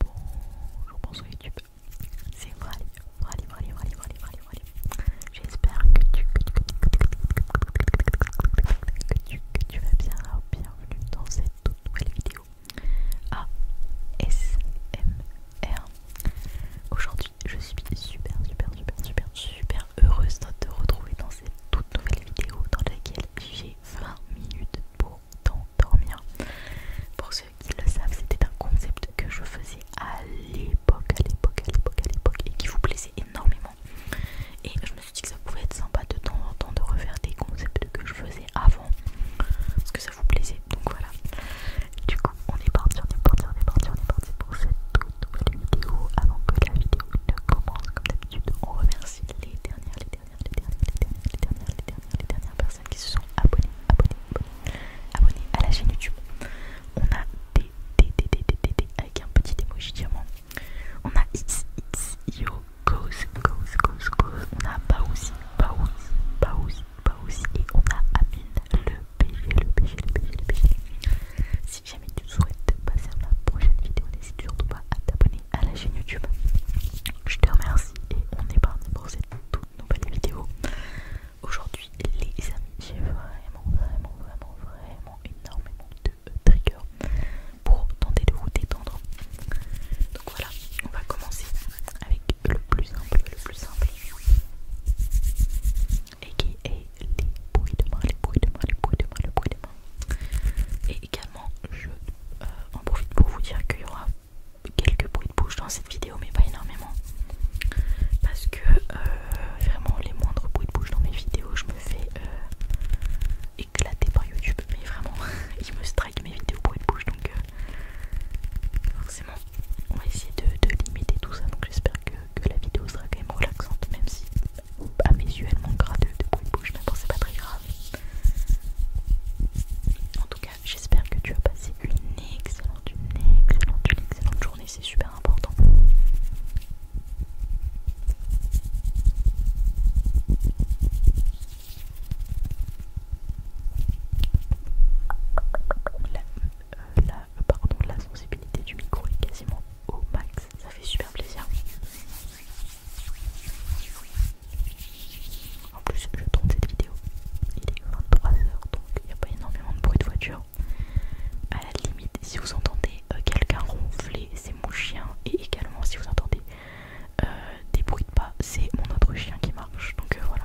Bonjour, bonsoir YouTube. C'est moi J'espère que tu, tu, vas bien. bienvenue dans cette toute nouvelle vidéo ASMR. Aujourd'hui, je suis super, super, super, super, super heureuse de te retrouver dans cette toute nouvelle vidéo dans laquelle j'ai 20 minutes pour dormir. Pour ceux qui le savent, c'était un concept que je faisais à l'époque, à l'époque, à l'époque, à l'époque, et qui vous plaisait énormément. Et je me suis dit que ça pouvait être sympa de temps en temps de refaire des concepts que je faisais avant, parce que ça vous plaisait. Donc voilà. Du coup, on est parti, on est parti, on est parti, on est parti pour cette toute nouvelle vidéo. Avant que la vidéo ne commence, comme d'habitude, on remercie les dernières, les dernières, les dernières, les dernières, personnes qui se sont abonnées, abonnées, abonnées, à la chaîne YouTube. On a d d d d d d avec un petit émoji diamant. On a X, X, Yo, Goes, Goes, Goes, Goes. On a Baouzi, Baouzi, Baouzi, Baouzi. Et on a Amine, le PG, le PG, le PG, le PG. Si jamais tu souhaites passer à la prochaine vidéo, n'hésite surtout pas à t'abonner à la chaîne YouTube. Je te remercie et on est parti pour cette toute nouvelle vidéo. Aujourd'hui, les amis, j'ai vraiment, vraiment, vraiment, vraiment énormément de triggers pour tenter de vous détendre. Donc voilà, on va commencer avec le plus simple, le plus simple. Et qui est les bruits de moi les bruits de moi les bruits de moi les bruits de moi et également, je euh, en profite pour vous dire qu'il y aura quelques bruits de bouche dans cette vidéo, mais pas énormément. Parce que euh, vraiment, les moindres bruits de bouche dans mes vidéos, je me fais euh, éclater par YouTube. Mais vraiment, ils me strike mes vidéos bruits de bouche, donc forcément, on va essayer de, limiter tout ça. Donc j'espère que la vidéo sera quand même relaxante, même si à mes yeux de de bouche mais bon c'est pas très grave en tout cas j'espère que tu as passé une excellente une excellente une excellente journée c'est super important la, euh, euh, la sensibilité du micro est quasiment au max, ça fait super plaisir. En plus, je tourne cette vidéo. Il est 23h, donc il n'y a pas énormément de bruit de voiture. À la limite, si vous entendez euh, quelqu'un ronfler, c'est mon chien. Et également, si vous entendez euh, des bruits de pas, c'est mon autre chien qui marche. Donc euh, voilà.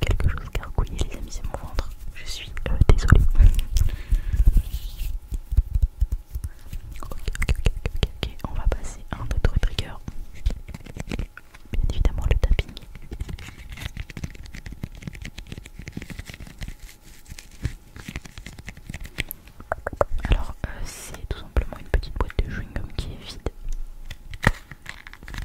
quelque chose gargouiller les amis, c'est mon ventre. Je suis euh, désolé ok, ok, ok, ok, On va passer à un autre trigger. Bien évidemment le tapping. Alors euh, c'est tout simplement une petite boîte de chewing-gum qui est vide.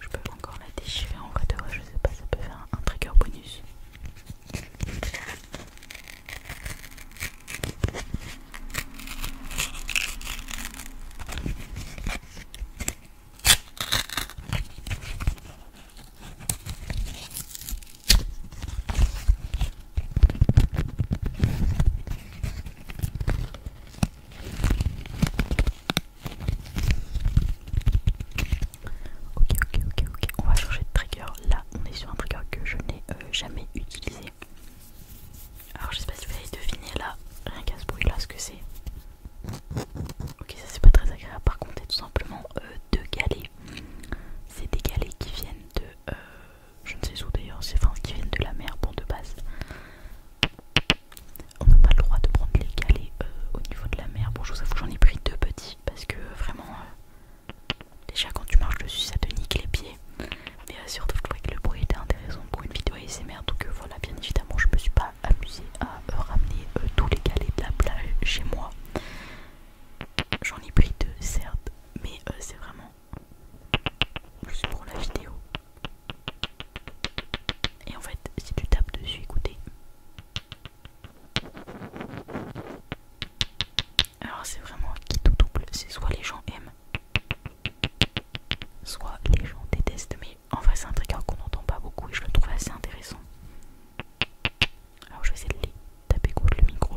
Je peux encore la déchirer en fait, de vrai, je sais pas, ça peut faire un trigger bonus. Ok, ok, ok, ok. On va chercher de trigger. Là, on est sur un trigger que je n'ai euh, jamais utilisé. Alors, je sais pas si vous allez deviner là, rien qu'à ce bruit là, ce que c'est. Ok, ça c'est pas très agréable. Par contre, c'est tout simplement euh, deux galets. C'est des galets qui viennent de. Euh, je ne sais où d'ailleurs, c'est enfin qui viennent de la mer, pour de base on n'a pas le droit de prendre les galets euh, au niveau de la mer. Bon, je vous avoue, j'en ai pris deux petits parce que euh, vraiment, euh, déjà quand tu marches dessus, ça te nique les pieds. Mais surtout, je trouvais que le bruit était intéressant pour une vidéo ASMR. Donc voilà, bien évidemment, je me suis pas amusée à ramener tous les galets de la plage chez moi. J'en ai pris deux, certes, mais c'est vraiment juste pour la vidéo. Et en fait, si tu tapes dessus, écoutez. Alors c'est vraiment qui tout double, c'est soit les gens aiment, soit les gens détestent, mais en vrai c'est un truc qu'on n'entend pas beaucoup et je le trouve assez intéressant. Alors je vais essayer de les taper contre le micro.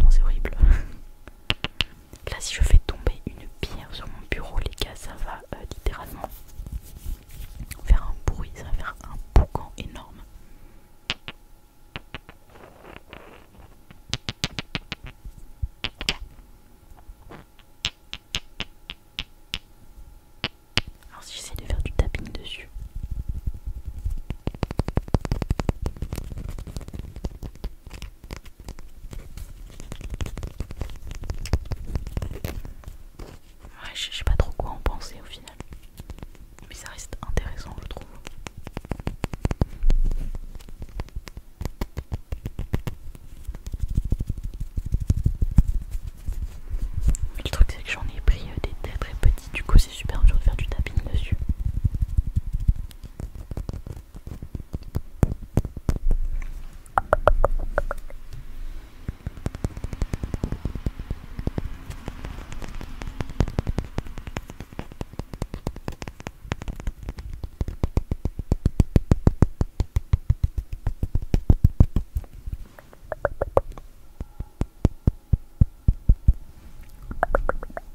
Non c'est horrible. Là, si je fais tomber une pierre sur mon bureau, les gars, ça va euh, littéralement faire un bruit, ça va faire un boucan énorme. Alors si j'essaie de faire du tapping dessus. Ouais, je sais pas trop quoi en penser au final. Mais ça reste intéressant, je trouve. le truc, c'est que j'en ai pris euh, des très très petits, du coup, c'est super dur de faire du tapping dessus.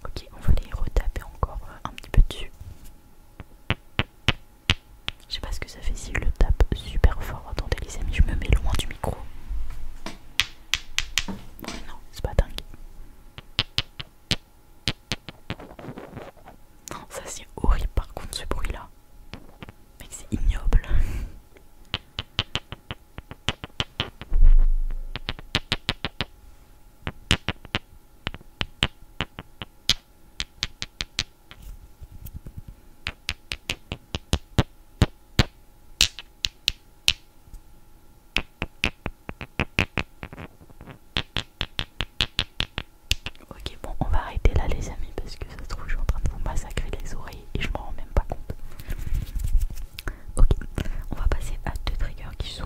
Ok, on va les retaper encore un petit peu dessus. Je sais pas ce que ça fait si je le tape super fort. Attendez les amis, je me mets loin du micro. Ouais non, c'est pas dingue. Non, ça c'est horrible par contre ce bruit là. Mec c'est ignoble. Ok bon on va arrêter là les amis parce que ça se trouve je suis en train de vous massacrer les oreilles et je m'en rends même pas compte. Ok on va passer à deux triggers qui sont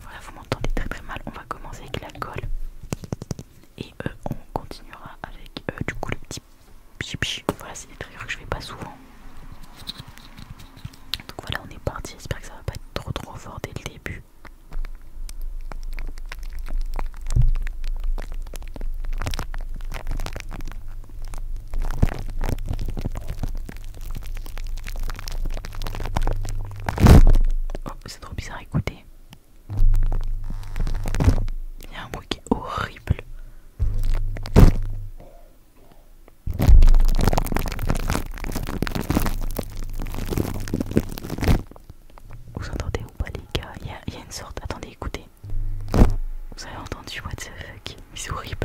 Voilà, vous m'entendez très très mal. On va commencer avec la colle. Et euh, on continuera avec euh, du coup le petit pchi Voilà, c'est des trucs que je fais pas souvent. Donc voilà, on est parti. J'espère que ça va pas être trop trop fort dès le début. Oh, c'est trop bizarre, écoutez. Il y a un bruit qui est horrible. Vous entendez ou pas les gars Il y, a une sorte... Attendez, écoutez. Vous avez entendu what the fuck mais c'est horrible.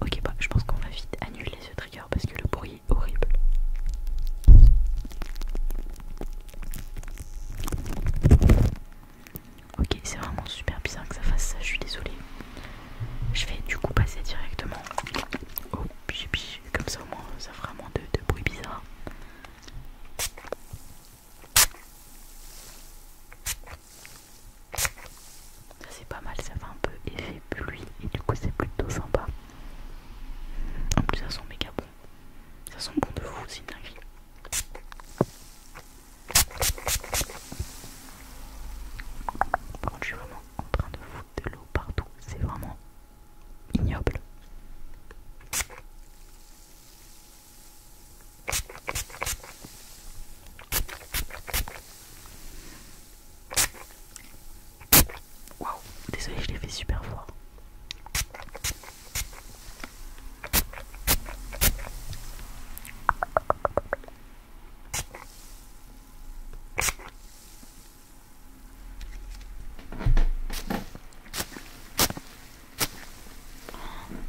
Ok, bah je pense qu'on va vite annuler ce trigger parce que le bruit est horrible. Ok, c'est vraiment super bizarre que ça fasse ça, je suis désolée. Je vais du coup passer directement au comme ça au moins ça fera moins de, de bruit bizarre c'est pas mal, ça fait un peu effet pluie et du coup c'est plutôt sympa. En plus ça sent méga bon. Ça sent bon de fou, c'est dingue. je suis vraiment en train de foutre de l'eau partout, c'est vraiment ignoble. Waouh, désolé, je l'ai fait super fort.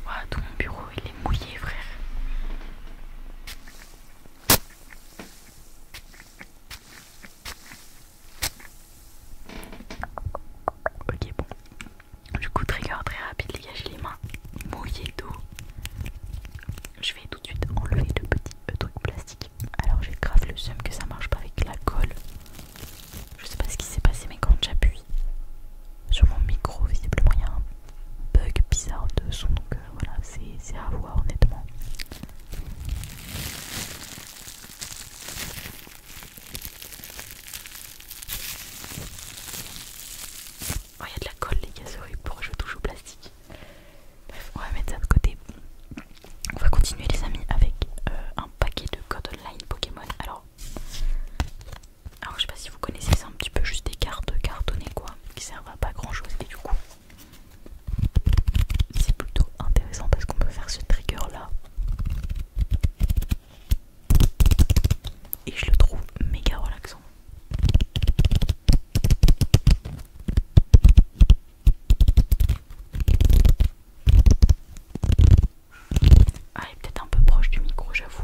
Oh tout mon bureau il est mouillé, frère. Ok, bon. Du coup, trigger très rapide, les gars, j'ai les mains mouillées d'eau. Je vais tout de suite enlever le petit euh, truc plastique. Alors, j'ai grave le seum que ça marche pas avec la colle. Je sais pas ce qui s'est passé, mais quand j'appuie sur mon micro, visiblement il y a un bug bizarre de son. Donc euh, voilà, c'est à voir honnêtement. Oh, il y a de la colle, les gars, pour pour je touche au plastique Bref, on va mettre ça de côté. On va continuer les amis avec euh, un paquet de codes online Pokémon. Alors, alors je sais pas si vous connaissez, ça un petit peu juste des cartes cartonnées quoi, qui servent à pas grand chose et du coup c'est plutôt intéressant parce qu'on peut faire ce trigger là. Et je le trouve méga relaxant. Ah, est peut-être un peu proche du micro, j'avoue.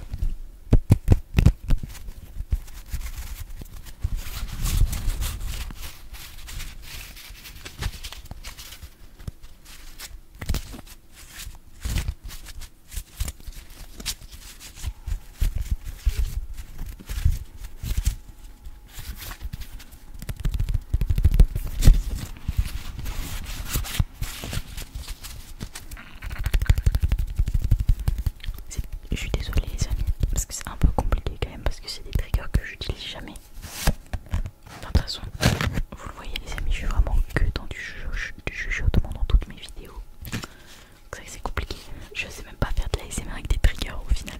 Je suis désolée les amis parce que c'est un peu compliqué quand même parce que c'est des triggers que j'utilise jamais. de toute façon, vous le voyez les amis, je suis vraiment que dans du chuchotement dans toutes mes vidéos. C'est vrai c'est compliqué. Je sais même pas faire de l'ASMR avec des triggers au final.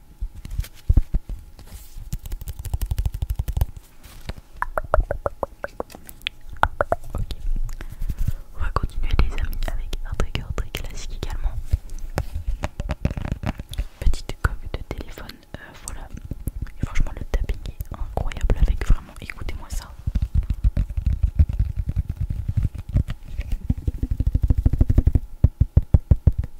Ok, on va continuer les amis avec un trigger très classique également. Petite coque de téléphone, euh, voilà. Et franchement le tapping est incroyable avec vraiment, écoutez-moi ça.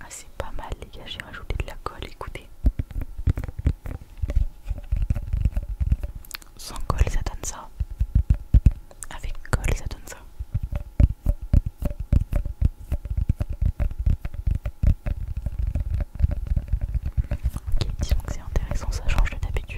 Ah c'est pas mal les gars, j'ai rajouté de la colle, écoutez. Sans colle ça donne ça. Avec colle ça donne ça. Ok, disons que c'est intéressant, ça change de d'habitude.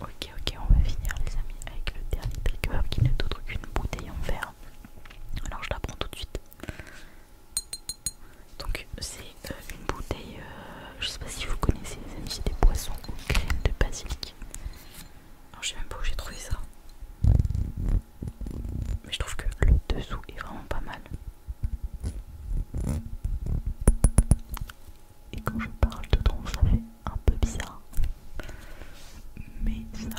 Ok, ok, on va finir les amis avec le dernier trigger qui n'est autre qu'une bouteille en verre. Alors je la prends tout de suite. Donc c'est euh, une bouteille, euh, je sais pas si vous connaissez les amis, c'est des poissons aux de basilic. Alors je sais même pas où j'ai trouvé ça. Mais je trouve que le dessous est vraiment pas mal. Et quand je parle de tronc, ça fait un peu bizarre. Mais ça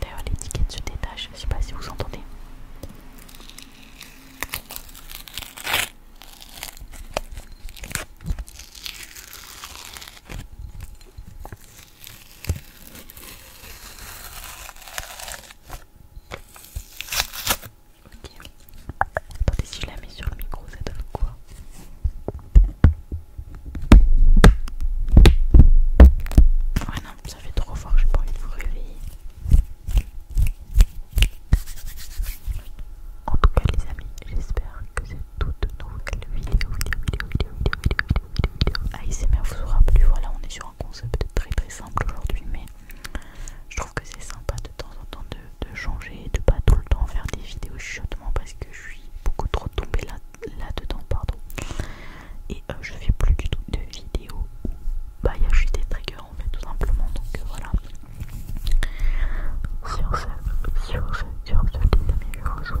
D'ailleurs l'étiquette se détache, je ne sais pas si vous entendez. Ok. Attendez, si je la mets sur le micro, ça donne quoi Ouais, ah non, ça fait trop fort, j'ai pas envie de vous réveiller. En tout cas, les amis, j'espère que cette toute nouvelle vidéo, vidéo, vidéo, vidéo, vidéo, vidéo vidéo c'est vous aura Voilà, on est sur un concept très très simple aujourd'hui, mais je trouve que c'est sympa de temps en temps de, changer changer, de pas tout le temps faire des vidéos chiottement parce que je suis beaucoup trop tombée là-dedans, pardon. Et euh, je fais plus du tout de vidéos où bah il y a juste des triggers en fait tout simplement. Donc euh, voilà. Sur ce, sur ce, sur ce, les je vous